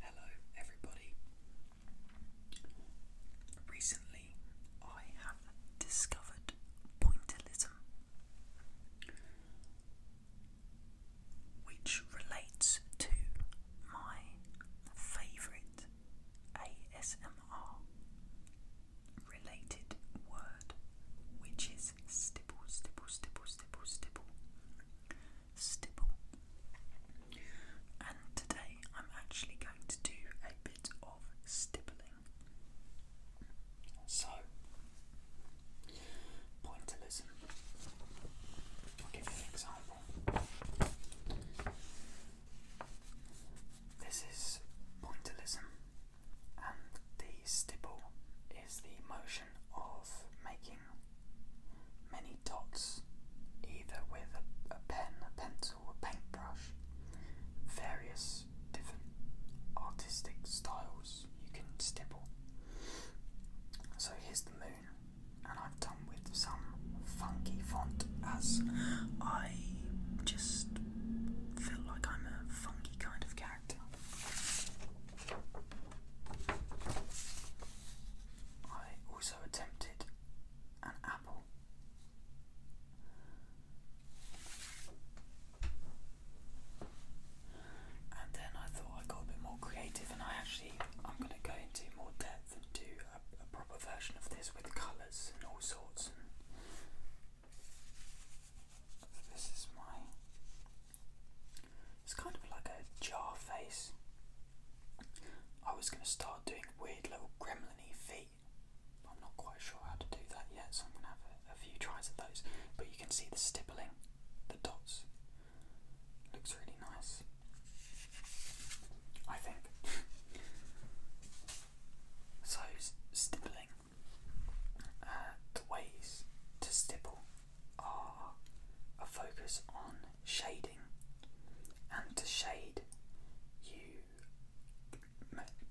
Hello, everybody. Recently, I have discovered pointillism, which relates to my favourite ASMR related word, which is stipple, stipple, stipple, stipple, stipple stipple. And today I'm actually going to do a bit of stippling. So, pointillism. I'll give you an example. This is pointillism, and the stipple is the motion of making many dots, either with a, pen, pencil, or paintbrush, various different artistic styles you can stipple. So here's the moon, and I've done with some funky font as I just feel like I'm a funky kind of character. I also attempted an apple. And then I thought I got a bit more creative, and I actually I'm going to go into more depth and do a, proper version of this with colours and all sorts this is my. It's kind of like a jar face. I was going to start doing weird little gremlin feet. I'm not quite sure how to do that yet, so I'm going to have a, a few tries at those. But you can see the stippling, the dots. Looks really nice. I think. so, stippling the ways to stipple are a focus on shading, and to shade, you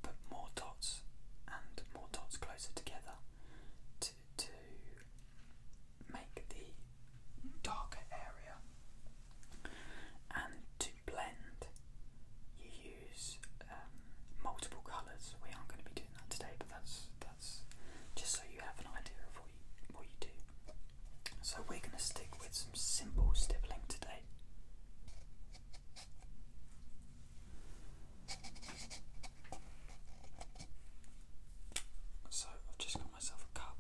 put more dots and more dots closer together to, to make the darker area, and to blend, you use um, multiple colours. We aren't going to be doing that today, but that's that's just so you have an idea of what you, what you do. So we're going to stick with some simple stippling today. So I've just got myself a cup.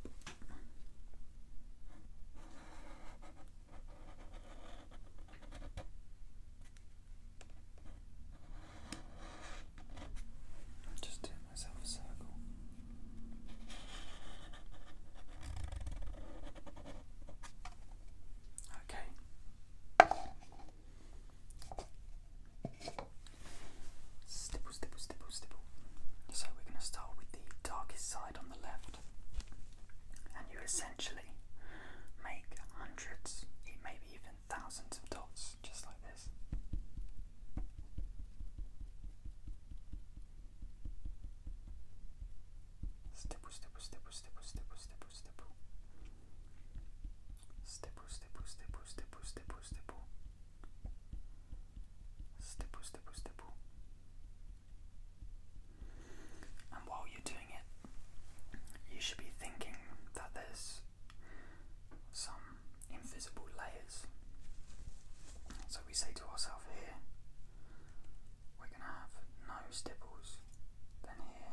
I'm just doing myself a circle. Okay. Stipple, stipple, stipple, stipple. So we're going to start with the darkest side on the left and you essentially make hundreds, maybe even thousands of dots just like this. Stipple, stipple, stipple, stipple, stipple, stipple, stipple. Stipple, stipple, stipple, stipple, stipple, stipple. Stipple, stipple, stipple. And while you're doing it, you should be thinking that there's some invisible layers. So we say to ourselves here, we're going to have no stipples. Then here,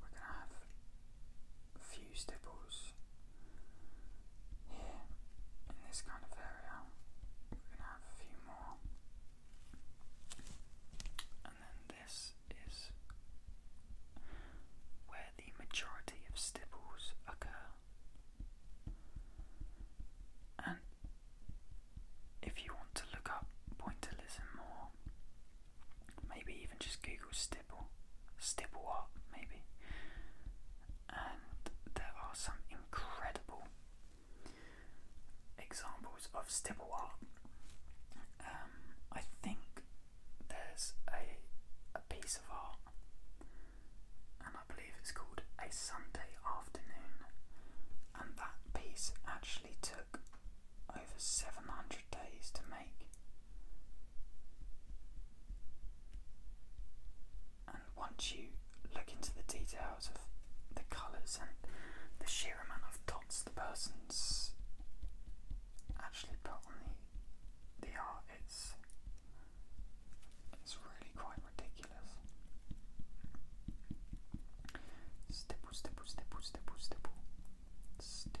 we're going to have few stipples here in this kind of area. We're going to have a few more. And then this is where the majority of stipples occur. And if you want to look up pointillism or maybe even just Google stipple, stipple art, maybe, and there are some incredible examples of stipple art. Um, I think there's a a piece of art, and I believe it's called a Sunday afternoon, and that piece actually took over 700 days to make. And once you look into the details of the colours and the sheer amount of dots the person's actually put on the, the art, it's, it's really quite ridiculous. Stipple, stipple, stipple, stipple, stipple. Stipple,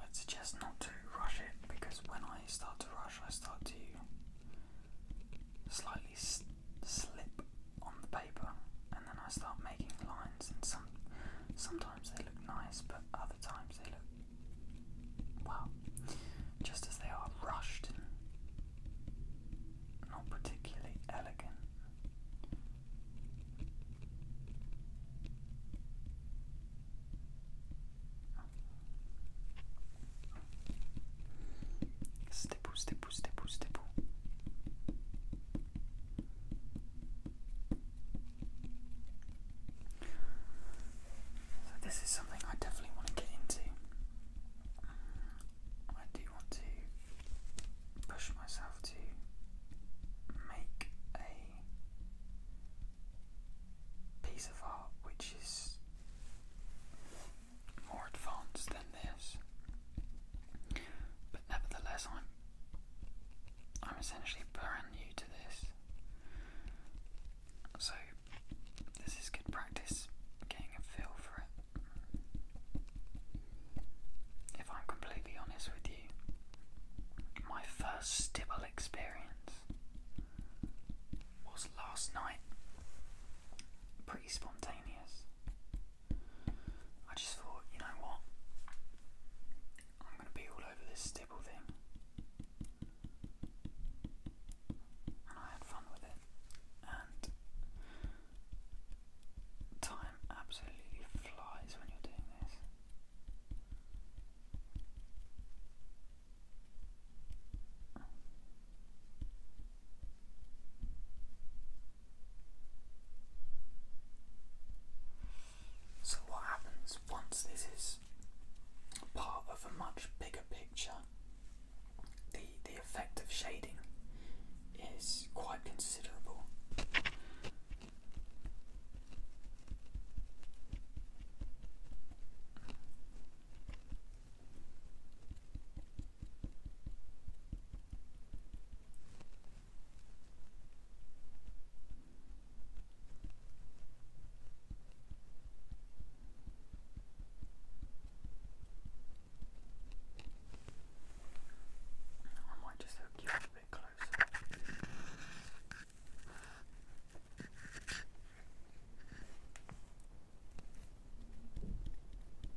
I'd suggest not to rush it because when I start to rush, I start to slightly slip on the paper, and then I start making lines. And some sometimes they look nice, but other times they look well, just as they are rushed and not particularly elegant. Stipple, stipple, stipple, stipple. So this is something I definitely want to get into. I do want to push myself to make a piece of art which is more advanced than this. But nevertheless, I'm I'm essentially brand new to this. So, this is good practice getting a feel for it. If I'm completely honest with you, my first stibble experience was last night. Pretty spontaneous. I just thought, you know what? I'm going to be all over this stipple thing. And I had fun with it. And time absolutely flies when you're doing this. So, what happens once this is part of a much bigger picture? The, the effect of shading is quite considerable. I might just hook you up a bit closer.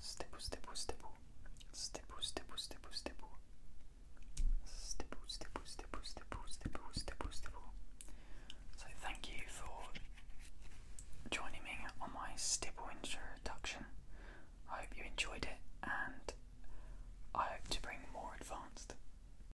Stepou, stepou, stepou. Stepou, stepou, stepou, stepou. Stepou, stepou, stepou, stepou, stepou, stepou, stepou. So thank you for joining me on my stipple introduction. I hope you enjoyed it and I hope to bring more advanced